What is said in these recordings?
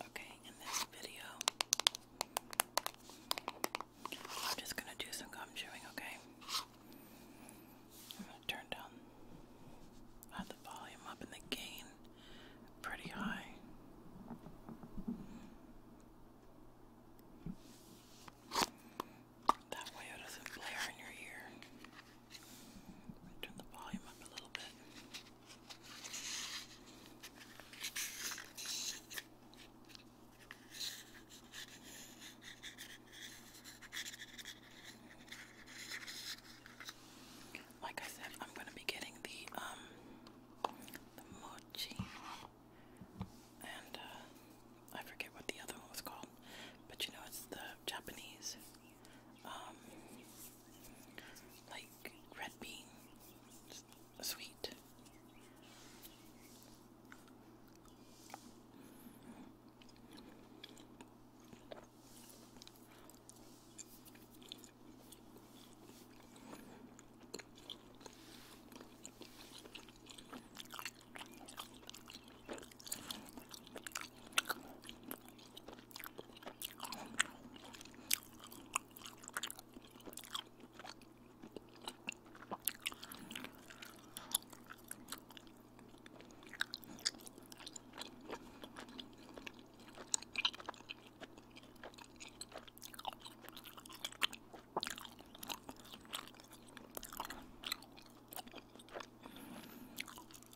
Okay, in this video, I'm just going to do some gum chewing, okay? I'm going to turn down uh, the volume up and the gain pretty high. That way it doesn't blare in your ear. Turn the volume up a little bit. Like I said, I'm gonna be getting the um, mochi and uh, I forget what the other one was called, but you know it's the Japanese um, like red bean sweet.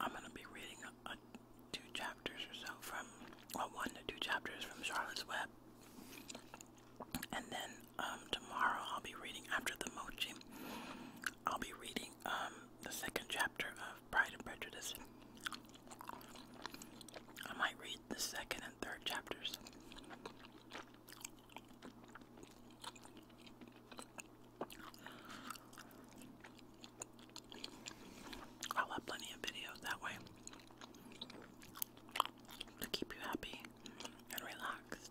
I'm going to be reading a, two chapters or so from, one to two chapters from Charlotte's Web. And then um, tomorrow I'll be reading, after the mochi, I'll be reading um, the second chapter of Pride and Prejudice. I might read the second and third chapters. I'll have plenty of videos that way to keep you happy and relaxed.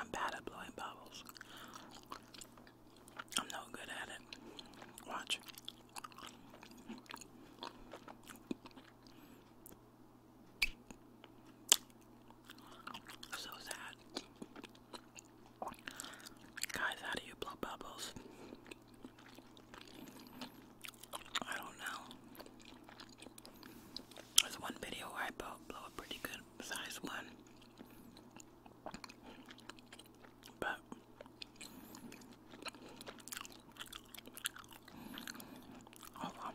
I'm bad at blowing bubbles. I'm no good at it. Watch. So sad. Guys, how do you blow bubbles? I don't know. There's one video where I blow, a pretty good size one. But hold on.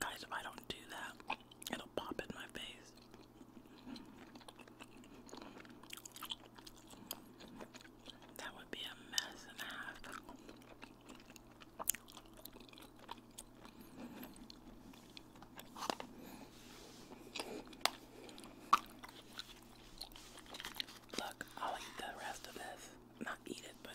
Guys, if I don't do that, it'll pop in my face. That would be a mess and a half. Look, I'll eat the rest of this. Not eat it, but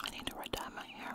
I need to write down my hair.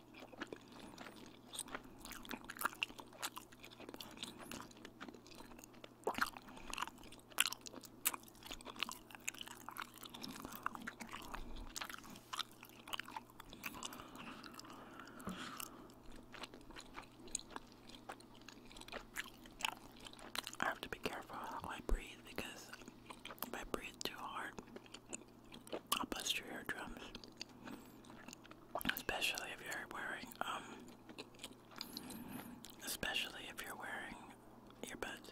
I have to be careful how I breathe because if I breathe too hard, I'll bust your eardrums. Especially if you're wearing, um, especially if you're wearing earbuds.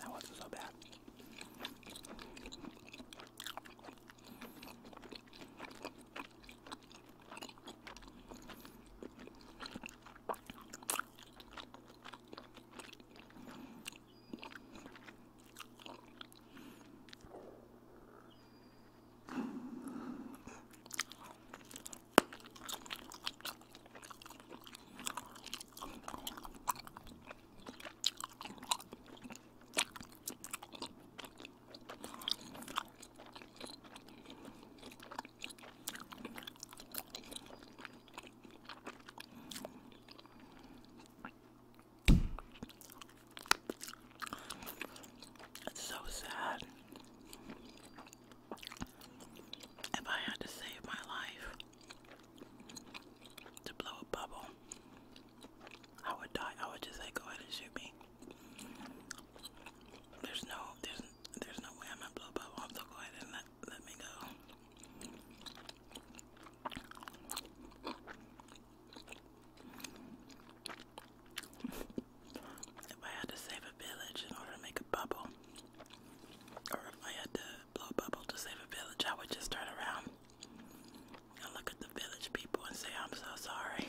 That wasn't so bad. It's so sad. If I had to save my life to blow a bubble, I would die. I would just say, go ahead and shoot me. There's no, there's, there's no way I'm gonna blow a bubble. So go ahead and let, let me go. If I had to save a village in order to make a bubble, or if I had to blow a bubble to save a village, I would just turn around and look at the village people and say, I'm so sorry.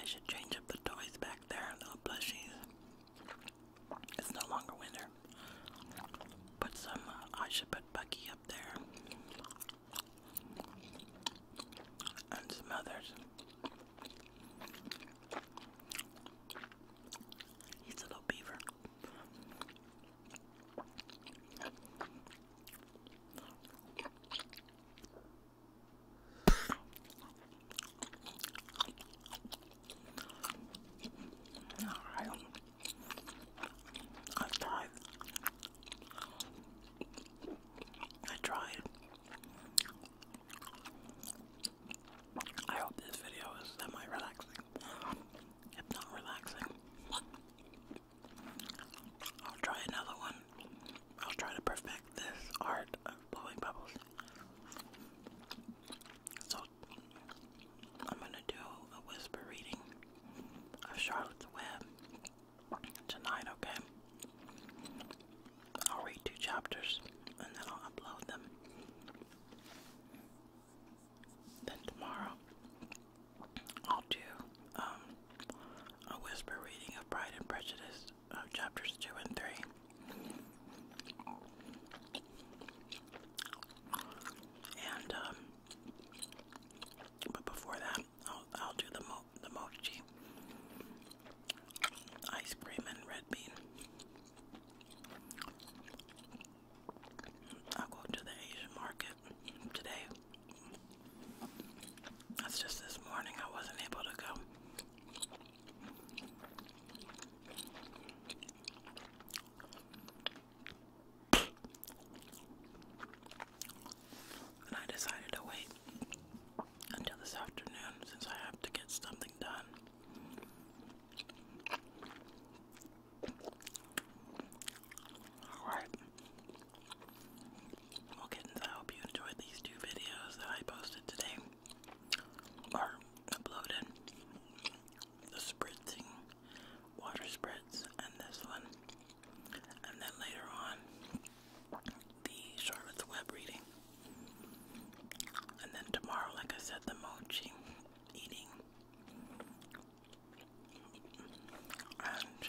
I should change up the toys back there, little plushies. It's no longer winter. Put some, I should put Bucky up there. And some others. He's a little beaver. I tried. I tried. I hope this video is semi relaxing. If not relaxing, I'll try another one. I'll try to perfect this art of blowing bubbles. So I'm gonna do a whisper reading of Charlotte's Web tonight, okay? I'll read two chapters and then I'll upload them. Then tomorrow I'll do um, a whisper reading of Pride and Prejudice of chapters two and three. And um, but before that, I'll I'll do the mo the mochi ice cream and red bean. I'll go to the Asian market today. That's just this morning. I wasn't able to go. And I decided to wait until this afternoon since I have to get something done. Alright. Well, kittens, I hope you enjoyed these two videos that I posted today or uploaded the spritzing water spritz and this one, and then later on the Charlotte's Web reading, and then tomorrow, like I said, the mochi eating. And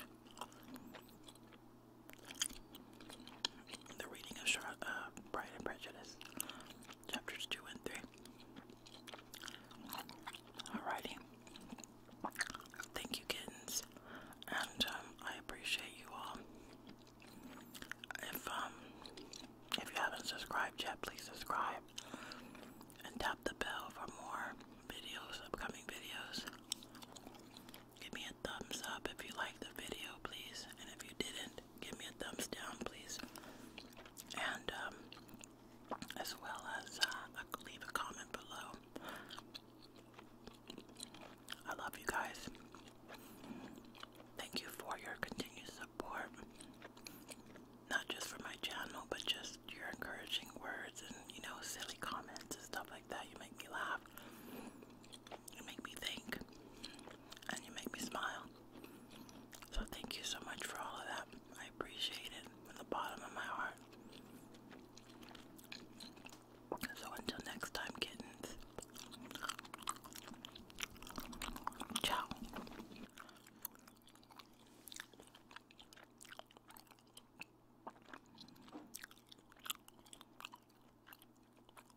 the reading of uh, Pride and Prejudice, chapters 2 and 3. Alrighty. Thank you, kittens. And um, I appreciate you all. If, um, if you haven't subscribed yet, please subscribe and tap the bell for more videos, upcoming videos. Give me thumbs up if you liked the video, please. And if you didn't, give me a thumbs down, please. And um, as well as uh, leave a comment below. I love you guys. Thank you for your continued support. Not just for my channel, but just your encouraging words and, you know, silly comments and stuff like that. You make me laugh. You make me think and you make me smile. So thank you so much for all of that. I appreciate it from the bottom of my heart. So until next time, kittens. Ciao.